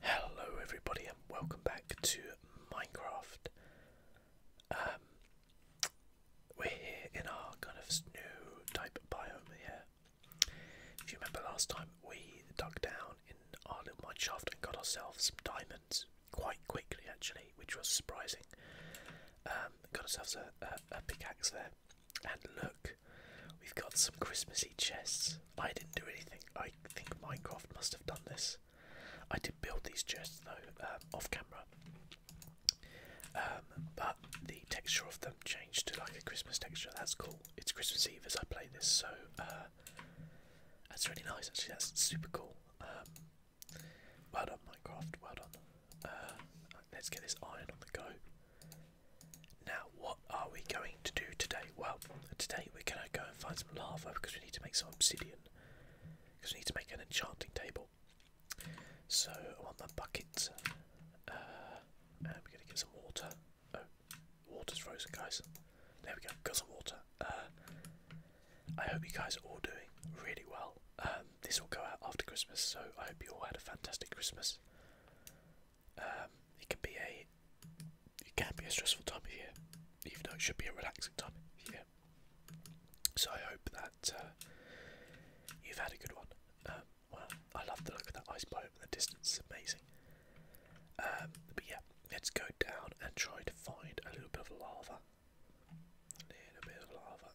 Hello everybody and welcome back to Minecraft. Um, we're here in our kind of snow type biome here. If you remember last time we dug down in our little mine shaft and got ourselves some diamonds quite quickly actually, which was surprising. Um, got ourselves a pickaxe there and look, we've got some Christmassy chests. I didn't do anything. I think Minecraft must have done this. I did build these chests though, um, off camera. Um, but the texture of them changed to like a Christmas texture. That's cool. It's Christmas Eve as I play this, so uh, that's really nice. Actually, that's super cool. Um, well done, Minecraft. Well done. Uh, let's get this iron on the go. Now, what are we going to do today? Well, today we're going to go and find some lava because we need to make some obsidian. Because we need to make an enchanting table. So, I want the bucket. Uh, and we're going to get some water. Oh, water's frozen, guys. There we go, got some water. Uh, I hope you guys are all doing really well. Um, this will go out after Christmas, so I hope you all had a fantastic Christmas. Um, it can be a it can be a stressful time of year, even though it should be a relaxing time of So I hope that uh, you've had a good one. Um, well, I love the look of that ice biome in the distance; it's amazing. Um, but yeah, let's go down and try to find a little bit of lava, a bit of lava,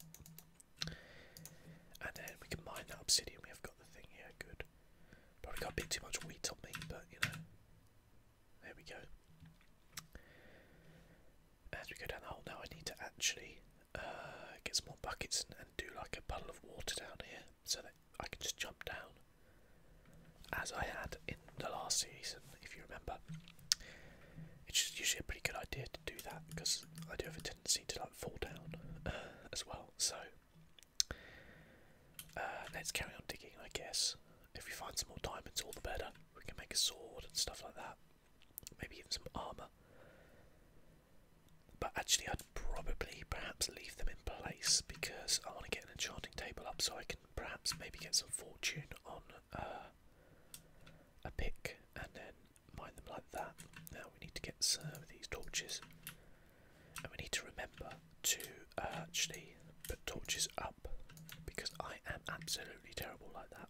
and then we can mine that obsidian. We have got the thing here. Good. Probably got a bit too much wheat on me, but you know. There we go. As we go down the hole now, I need to actually uh, get some more buckets and, do like a puddle of water down here so that I can just jump down as I had in the last season, if you remember. It's usually a pretty good idea to do that because I do have a tendency to like fall down uh, as well. So uh, let's carry on digging, I guess. If we find some more diamonds, all the better. We can make a sword and stuff like that. Maybe even some armour. But actually, I'd probably perhaps leave them in place because I want to get an enchanting table up so I can perhaps maybe get some fortune on uh, a pick and then mine them like that. Now we need to get some of these torches and we need to remember to uh, actually put torches up because I am absolutely terrible like that.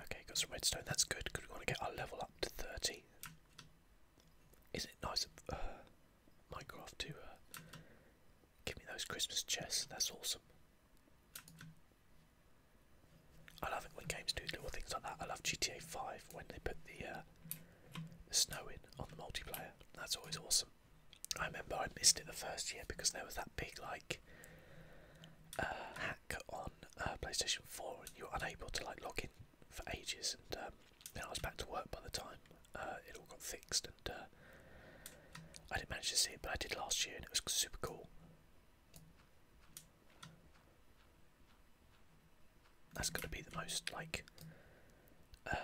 Okay, got some redstone. That's good because we want to get our level up to 30. Is Isn't it nice of uh, Minecraft to uh, give me those Christmas chests? That's awesome. I love it when games do little things like that. I love GTA 5 when they put uh, the, snow in on the multiplayer. That's always awesome. I remember I missed it the first year because there was that big like uh, hack on uh, PlayStation 4 and you were unable to like log in for ages and um, I was back to work by the time it all got fixed and I didn't manage to see it but I did last year and it was super cool. That's got to be the most like uh,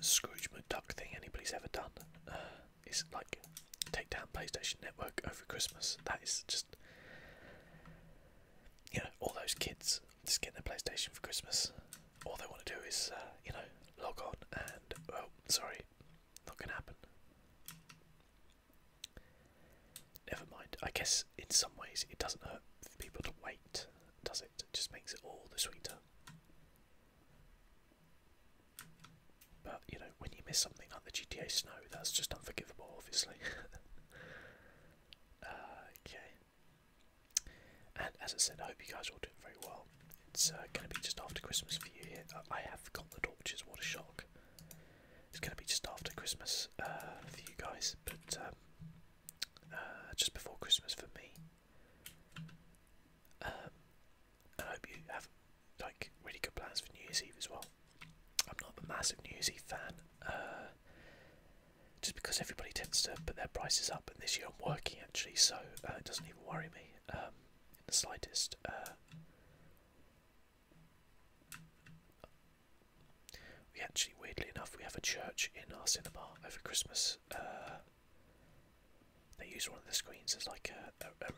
Scrooge McDuck thing anybody's ever done. Uh, is like take down PlayStation Network over Christmas. That is just you know all those kids just getting their PlayStation for Christmas. All they want to do is uh, you know log on and oh sorry, not gonna happen. Never mind. I guess in some ways it doesn't hurt for people to wait, does it? It just makes it all the sweeter. But you know, when you miss something like the GTA Snow, that's just unforgivable, obviously. okay. And as I said, I hope you guys are all doing very well. It's uh, going to be just after Christmas for you here. I have forgotten the torches. What a shock! It's going to be just after Christmas uh, for you guys, but um, uh, just before Christmas for me. Um, I hope you have like really good plans for New Year's Eve as well. I'm not a massive New Year's Eve fan, uh, just because everybody tends to put their prices up, and this year I'm working actually, so it doesn't even worry me um, in the slightest. We actually, weirdly enough, we have a church in our cinema over Christmas. Uh, they use one of the screens as like a,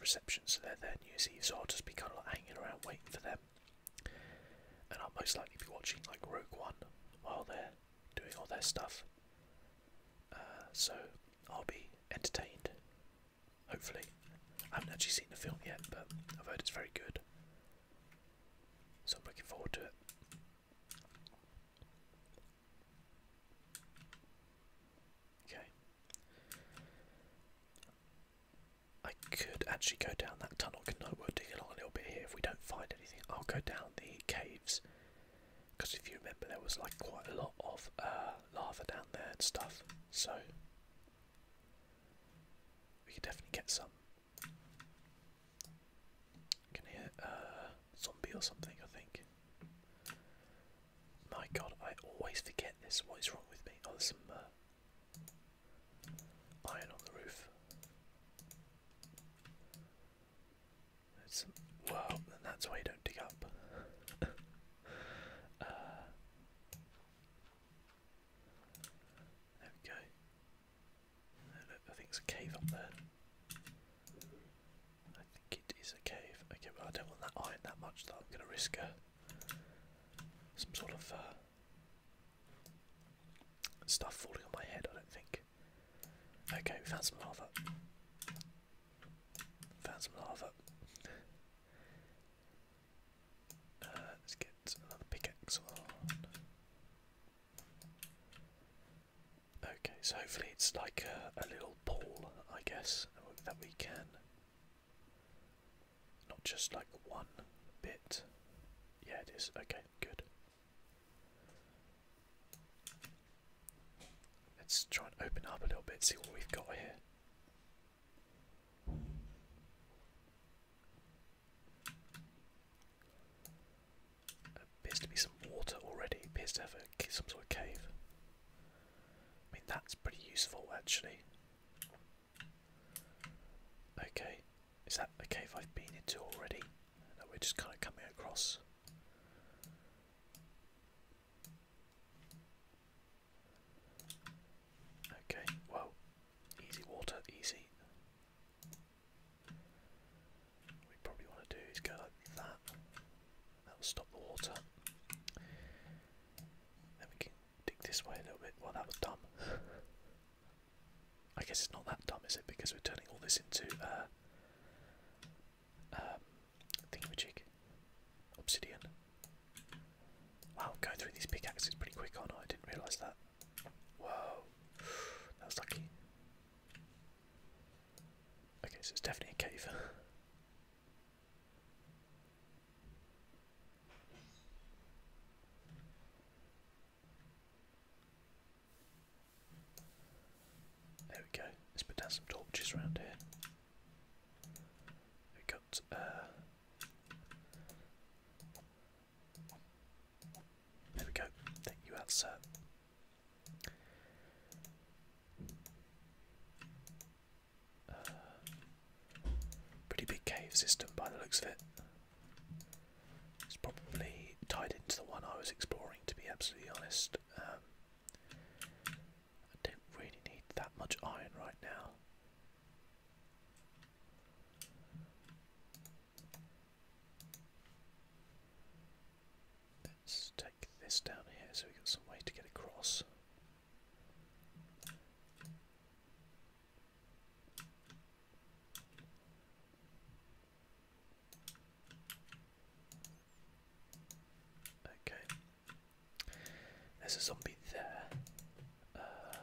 reception, so they're there New Year's Eve, so I'll just be kind of hanging around waiting for them. And I'll most likely be watching like Rogue One while they're doing all their stuff. Uh, so I'll be entertained. Hopefully. I haven't actually seen the film yet, but I've heard it's very good. So I'm looking forward to it. Okay. I could actually go down that tunnel, can I? We'll dig a little bit here if we don't find anything. I'll go down the caves. Because if you remember, there was like quite a lot of uh, lava down there and stuff. So we could definitely get some. Can hear uh zombie or something, I think. My god, I always forget this. What is wrong with me? Oh, there's some uh, iron on the roof. There's Well, that's why you don't dig up. Uh, there we go. look, I think it's a cave up there. I think it is a cave. Okay, well I don't want that iron that much that I'm going to risk a, uh, some sort of uh, stuff falling on my head, I don't think. Okay, we found some lava. Found some lava. Uh, let's get another pickaxe Okay, so hopefully it's like a, little pool, I guess, that we can. Not just like one bit. Yeah, it is. Okay, good. Let's try and open up a little bit, see what we've got here. Appears to be some water already. Appears to have some sort of cave. I mean, that's pretty useful actually. Okay, is that a cave I've been into already? No, we're just kind of coming across. Okay, whoa. Easy water, easy. we probably want to do is go like that. That'll stop the water. Then we can dig this way a little bit. Well, that was dumb. I guess it's not that dumb, is it? Because we're turning all this into uh, um, obsidian. Wow, going through these pickaxes pretty quick, aren't I? didn't realise that. Whoa, that was lucky. Okay, so it's definitely a cave. There we go. Let's put down some torches around here. we got uh, there we go. Thank you sir. Uh, pretty big cave system by the looks of it. It's probably tied into the one I was exploring, to be absolutely honest. Um, I don't really need that much iron right now. Let's take this down here so we've got some way to get across. Okay, there's a zombie there. Uh,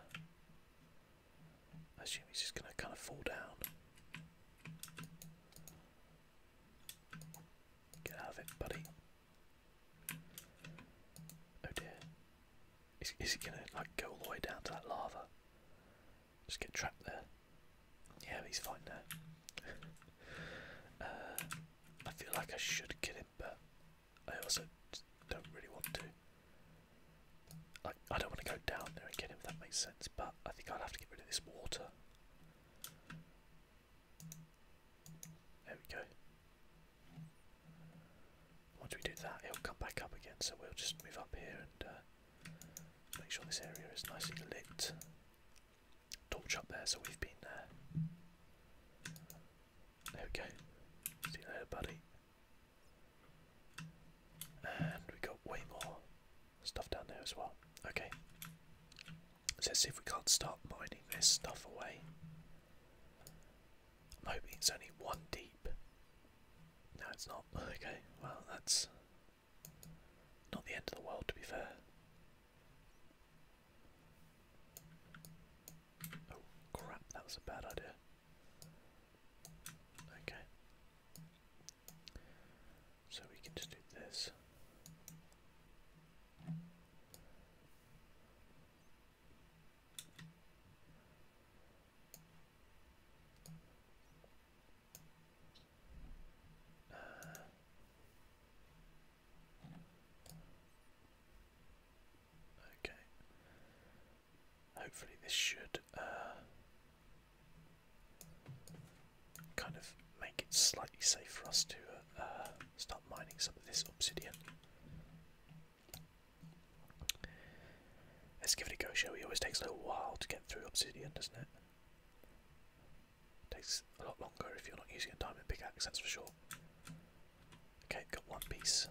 I assume he's just going to kind of fall down. Get out of it, buddy. Oh dear. Is, is he going to like go all the way down to that lava? Just get trapped there. Yeah, he's fine there. Uh, I feel like I should kill him, but I also don't really want to. I, I don't want to go down there and get him if that makes sense, but I think I'll have to get rid of this water. There we go. Once we do that, he'll come back up again, so we'll just move up here and uh, make sure this area is nicely lit. Torch up there, so we've been there. There we go. See you later, buddy. And we got way more stuff down there as well. Okay. So let's see if we can't start mining this stuff away. I'm hoping it's only one deep. No, it's not. Okay, well, that's not the end of the world to be fair. Oh crap, that was a bad idea. Okay. So we can just do this. Uh, Okay. Hopefully, this should uh, kind of make it slightly safe for us to uh, start mining some of this obsidian. Let's give it a go, shall we? always takes a little while to get through obsidian, doesn't it? Takes a lot longer if you're not using a diamond pickaxe, that's for sure. Okay, got one piece.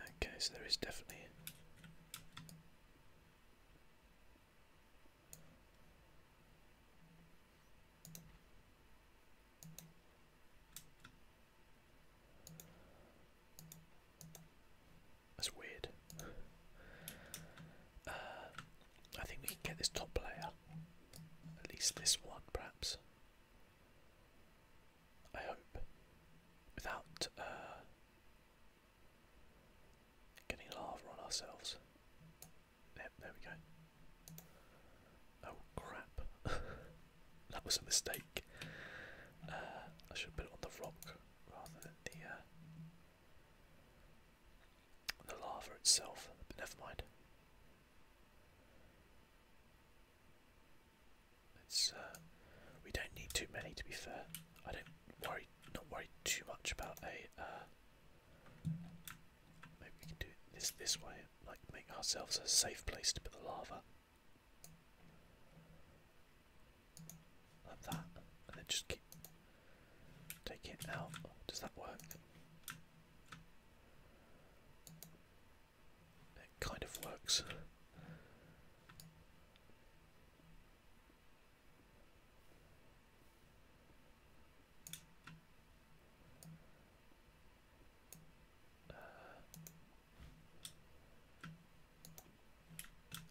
Okay, so there is definitely. That's weird. Uh, I think we can get this top player. At least this one, perhaps. I hope. Without uh, getting lava on ourselves. Yep, there we go. Oh crap. that was a mistake. Uh, I should have put it on the rock rather than the uh, the lava itself. But never mind. It's uh, we don't need too many to be fair. I don't worry, not worry too much about a. Uh, maybe we can do this this way, like make ourselves a safe place to put the lava. Like that. And then just take it out. Does that work? It kind of works.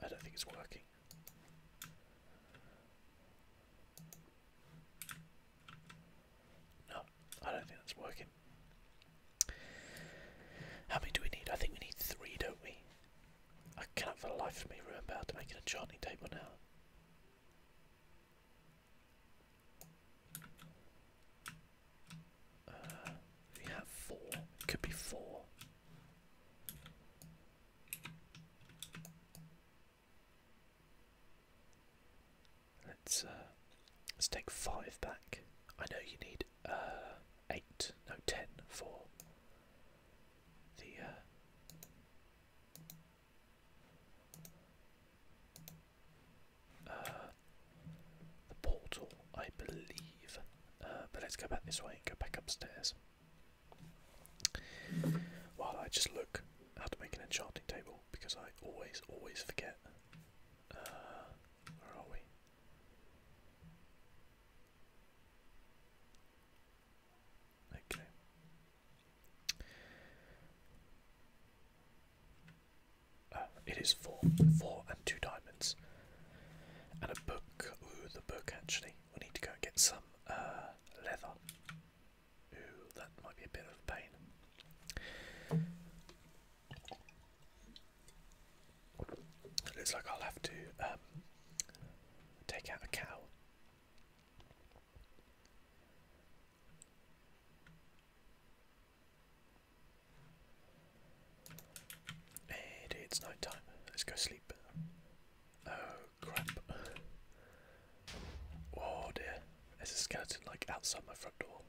I don't think it's working. No, I don't think that's working. How many do we need? I think we need three, don't we? I cannot for the life of me remember how to make it a enchanting table now. Uh, we have four. could be four. Let's uh, let's take five back. I know you need uh, eight, no ten for the. Uh, the portal, I believe. Uh, but let's go back this way and go back upstairs. While I just look how to make an enchanting table because I always, always forget. Uh, where are we? Okay. Uh, it is four, four and two diamonds. And a book. Ooh, the book actually. We need to go and get some uh, leather. Ooh, that might be a bit of pain. looks like I'll have to um, take out a cow. Hey, it's night time. Let's go sleep. Oh crap! Oh dear, there's a skeleton like outside my front door.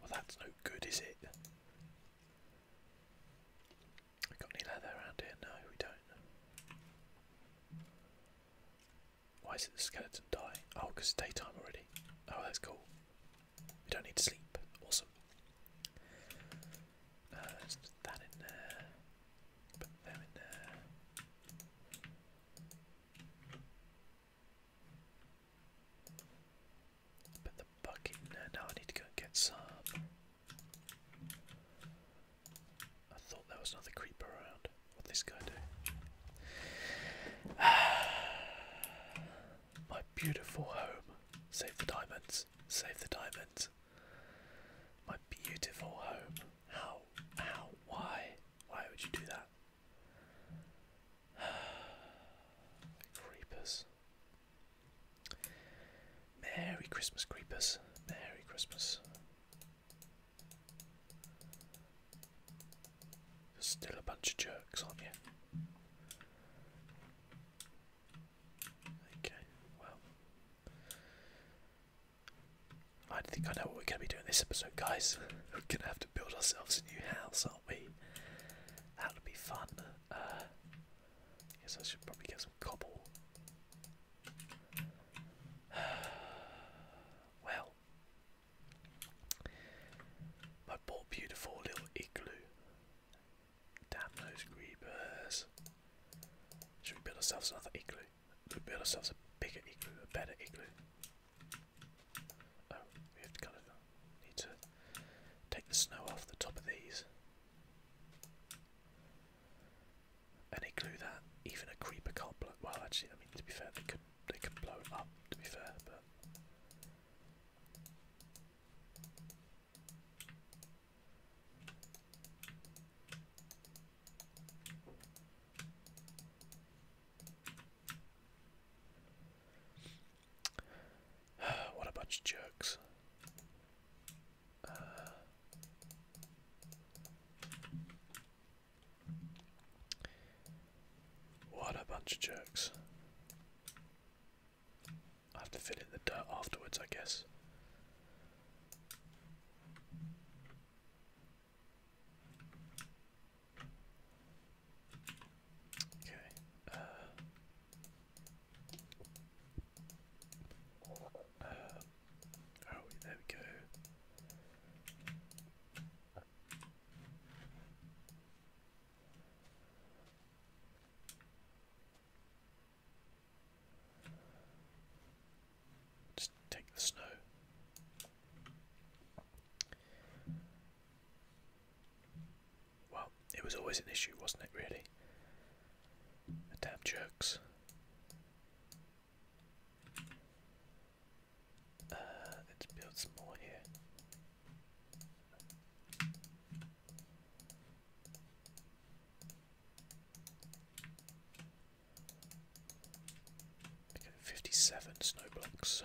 Well, that's no good, is it? We got any leather around here? No, we don't. Why isn't the skeleton die? Oh, because it's daytime already. Oh, that's cool. We don't need to sleep. Awesome. put uh, that in there. Put them in there. Put the bucket in there. Now I need to go and get some. I thought there was another creeper around. What this guy do? My beautiful home. Save the diamonds. Save the diamonds. My beautiful home. How? How? Why? Why would you do that? creepers. Merry Christmas, creepers. Merry Christmas. There's still a bunch of jerks, aren't you? Okay, well. I think I know what we're going to be doing this episode, guys. we're going to have to build ourselves a new house, aren't we? That'll be fun. Uh, I should probably get some cobble. well, my poor beautiful little igloo. Damn those creepers. Should we build ourselves another igloo? We build ourselves a bigger igloo, a better igloo. Oh, we have to kind of need to take the snow off the top of these. And igloo that even a creeper can't blow. Well, actually, I mean to be fair, they could they could blow up to be fair, but what a bunch of jerks. Uh, what a bunch of jerks. I have to fill in the dirt afterwards, I guess. Okay. Uh, uh, oh, there we go. Just take the snow. Well, it was always an issue, wasn't it, really? damn jerks. Uh, let's build some more here. 57 snow blocks, so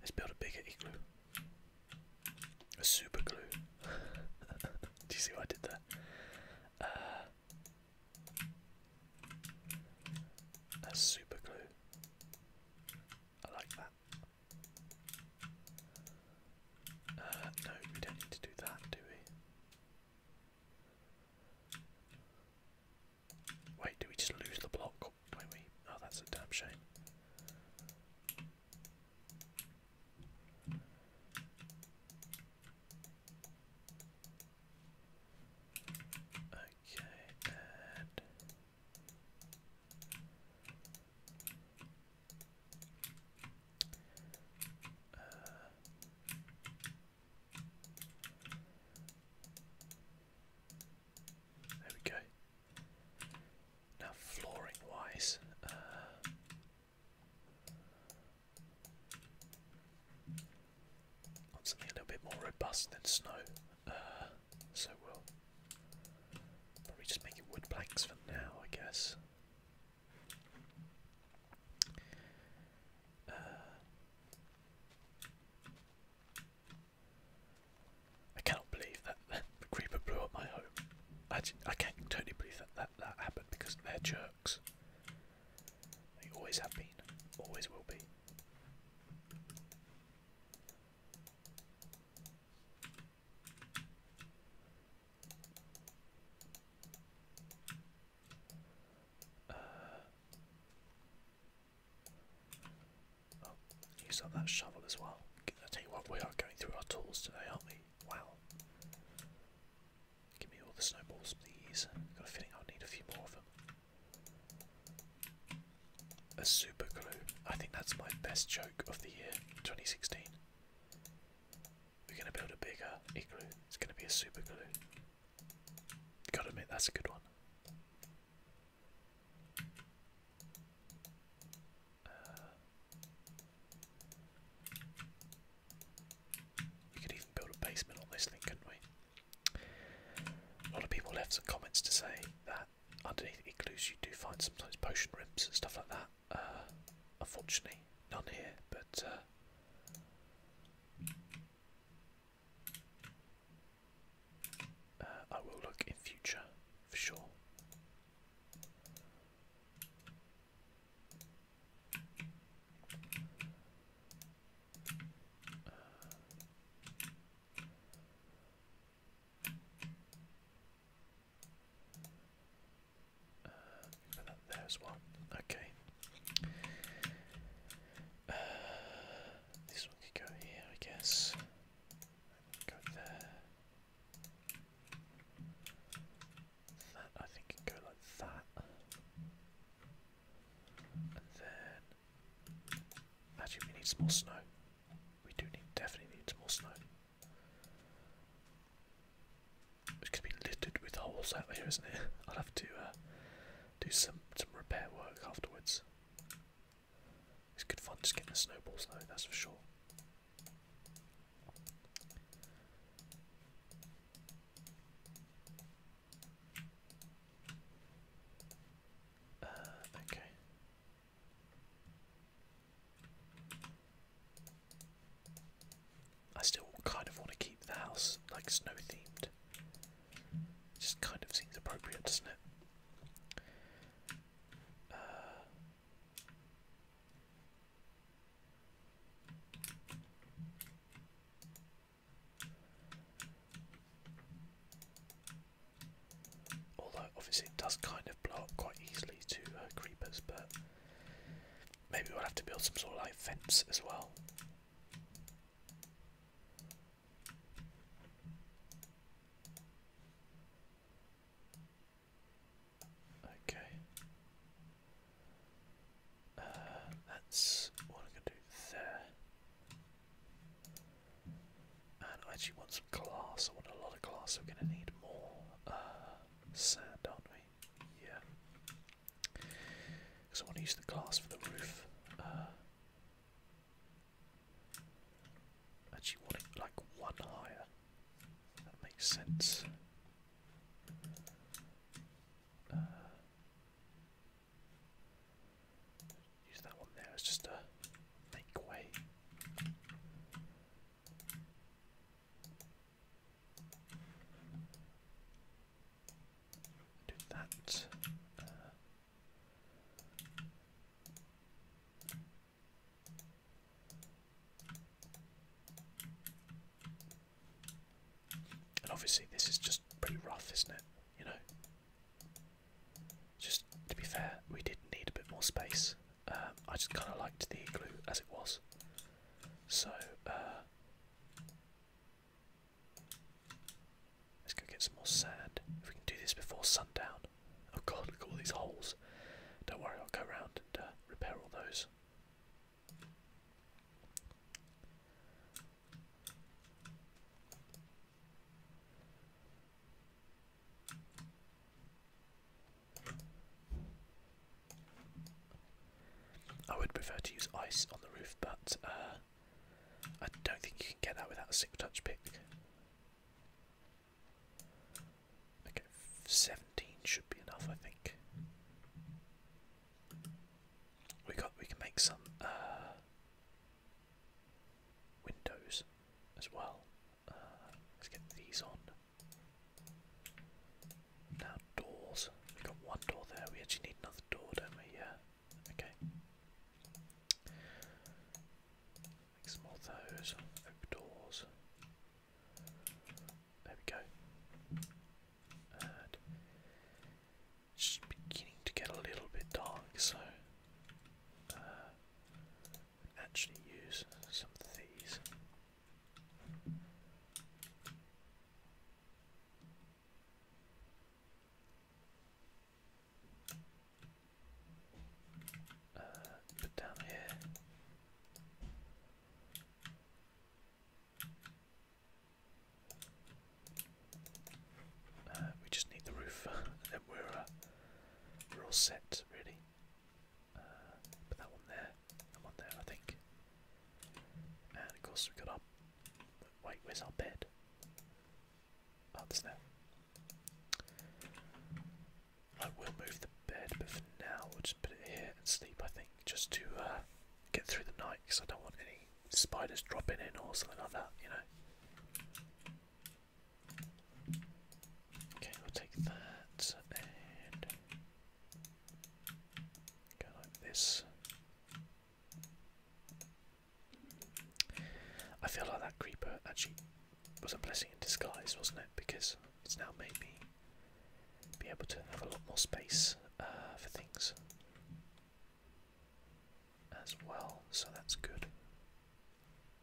let's build a bigger igloo. A super igloo. Do you see why I did that? Uh, that's super glue. I like that. Uh, no, we don't need to do that, do we? Wait, do we just lose the block? do we? Oh, that's a damn shame. Okay, and there we go. Now flooring wise, uh, Want a little bit more robust than snow, uh, so we'll probably just make it wood planks for now, I guess. Uh, I cannot believe that the creeper blew up my home. I, I can't totally believe that that, that happened because they're jerks. They always have been, always will be. Uh, oh, use up that shovel as well. tell you what, we are going through our tools today, aren't we? Wow. Give me all the snowballs, please. I've got a feeling I'll need a few more of them. A super glue. I think that's my best joke of the year, 2016. We're gonna build a bigger igloo. It's gonna be a super glue. Gotta admit, that's a good one. Uh, we could even build a basement on this thing, couldn't we? A lot of people left some comments to say that underneath igloos you do find sometimes potion rims and stuff like that. Uh, unfortunately, none here, but. Uh, uh, I will look in future for sure. There's one. Okay. Uh, this one could go here, I guess. Go there. That I think can go like that. And then actually we need some more snow. We do need definitely need some more snow. It's gonna be littered with holes out here, isn't it? I'll have to uh, do some some repair work afterwards. It's good fun just getting the snowballs though, that's for sure. Uh, okay. I still kind of want to keep the house like snow themed. Just kind of seems appropriate, doesn't it? Although obviously it does kind of blow up quite easily to uh, creepers, but maybe we'll have to build some sort of like fence as well. Okay. Uh, that's what I'm going to do there. And I actually want some glass. I want a lot of glass. So we're going to need more uh, sand, aren't we? Yeah. Because I want to use the glass for the roof. Uh, actually want it like one higher. That makes sense. Uh, use that one there as just a make way. Do that. Uh, and obviously, this is just pretty rough, isn't it? You know? Just to be fair, we did need a bit more space. Um, I just kind of liked the glue as it was. So, uh, let's go get some more sand. If we can do this before sundown. Oh god, look at all these holes. Don't worry, I'll go around and uh, repair all those. I would prefer to use ice on the roof, but uh, I don't think you can get that without a six touch pick. Okay, 17 should be enough, I think. We got we can make some uh, windows as well. Uh, let's get these on. Now doors. We got one door there. We actually need another door, don't we? Yeah. Okay. Make some more those. Oak doors. There we go. And beginning to get a little bit dark, so uh, actually use some of these. Uh, put down here. Uh, we just need the roof, and then we're uh, we're all set, really. Uh, put that one there, that one there, I think. And of course we've got our. Wait, where's our bed? Oh, I will move the bed, but for now we'll just put it here and sleep. I think just to uh, get through the night because I don't want any spiders dropping in or something like that, you know. Okay, we'll take that and go like this. I feel like that creeper actually was a blessing in disguise, wasn't it? Because it's now maybe be able to have a lot more space uh, for things as well, so that's good.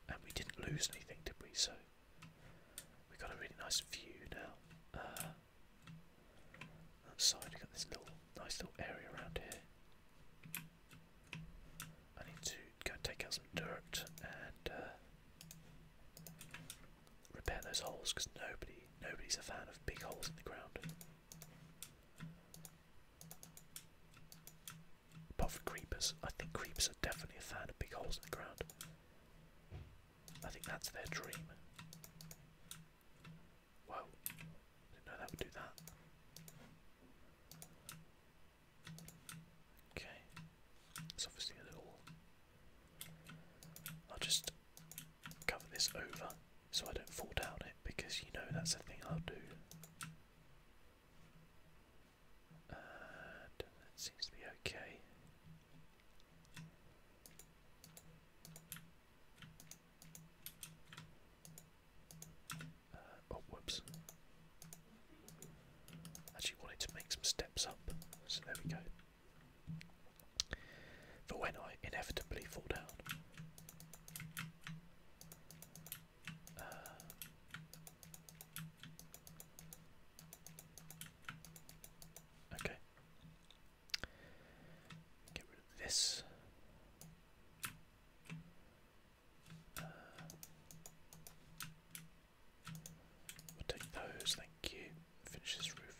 And we didn't lose anything, did we? So we got a really nice view now. Uh, outside, we got this little nice little area around here. I need to go and take out some dirt and uh, repair those holes because nobody nobody's a fan of big holes in the ground. Apart from creepers, I think creepers are definitely a fan of big holes in the ground. I think that's their dream. Whoa, didn't know that would do that. Okay, it's obviously a little I'll just cover this over so I don't fall down it because you know that's the thing I'll do. seems to be okay. Uh, oh, whoops. Actually, wanted to make some steps up, so there we go for when I inevitably fall down. Uh, okay. Get rid of this. Uh, we'll take those, thank Finish this roof.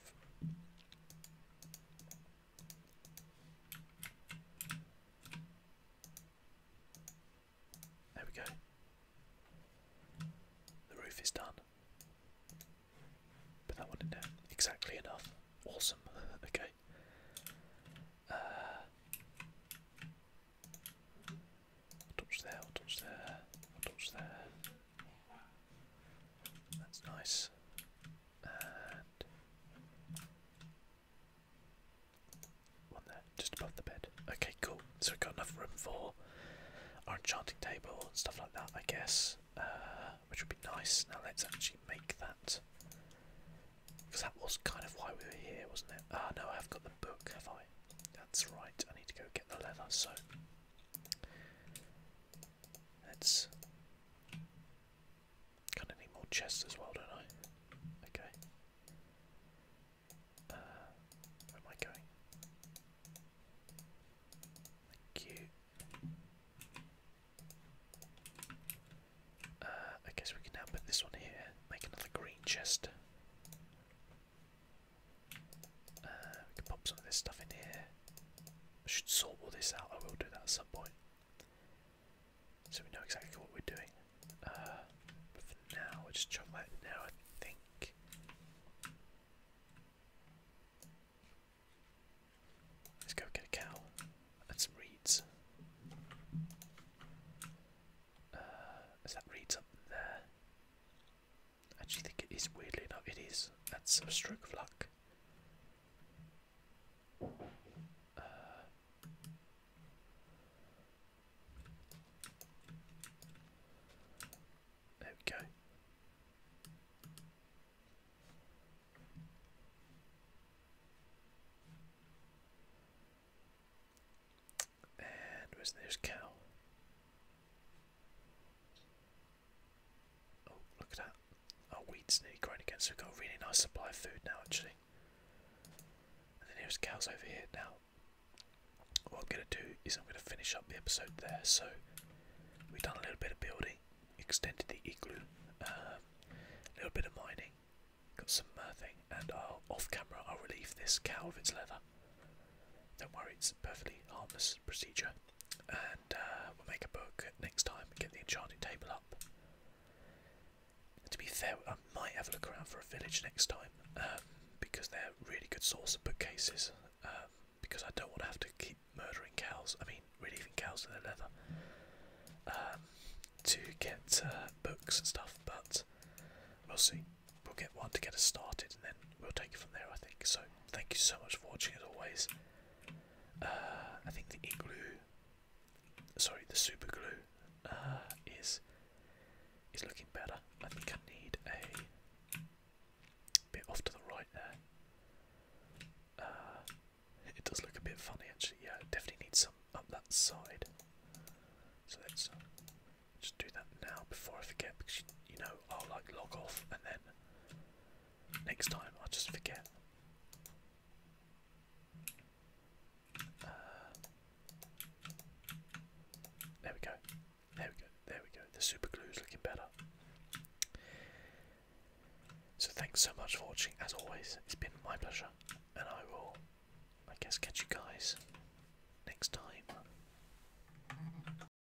There we go. The roof is done. Put that one in there. Exactly enough. Awesome. okay. touch there, touch there, touch there. That's nice. one there, just above the bed. Okay, cool. So we've got enough room for our enchanting table and stuff like that, I guess. Uh, which would be nice. Now let's actually make that. Because that was kind of why we were here, wasn't it? Ah, no, I have got the book, have I? That's right, I need to go get the leather, so Let's. Kind of need more chests as well, don't I? Okay. Uh, where am I going? Thank you. Uh, I guess we can now put this one here, make another green chest. Uh, we can pop some of this stuff in here. I should sort all this out. I will do that at some point. So we know exactly what we're doing. Uh, but for now, we'll just chuck that I think. Let's go get a cow and some reeds. Uh, is that reeds up there? Actually, think it is weirdly enough. It is. That's a stroke of luck. Uh, there we go. And where's there's cow? Oh, look at that. Our wheat's nearly grown again, so we've got a really nice supply of food now, actually. And then here's cows over here now. What I'm going to do is I'm going to finish up the episode there. So we've done a little bit of building, extended the igloo, um, a little bit of mining, got some uh, and off camera I'll relieve this cow of its leather. Don't worry, it's a perfectly harmless procedure. And uh, we'll make a book next time and get the enchanting table up. To be fair, I might have a look around for a village next time um, because they're a really good source of bookcases. Um, because I don't want to have to keep murdering cows, I mean, relieving cows to their leather, um, to get uh, books and stuff, but we'll see. We'll get one to get us started and then we'll take it from there, I think. So, thank you so much for watching, as always. Uh, I think the glue, sorry, the super glue, uh, is is looking better. I think I need a bit off to the right there. Uh, it does look a bit funny, actually. Yeah, definitely need some up that side. So let's just do that now before I forget, because you know I'll like log off and then Next time I'll just forget. Uh, there we go. There we go. There we go. The super glue is looking better. So thanks so much for watching. As always, it's been my pleasure, and I will, I guess, catch you guys next time.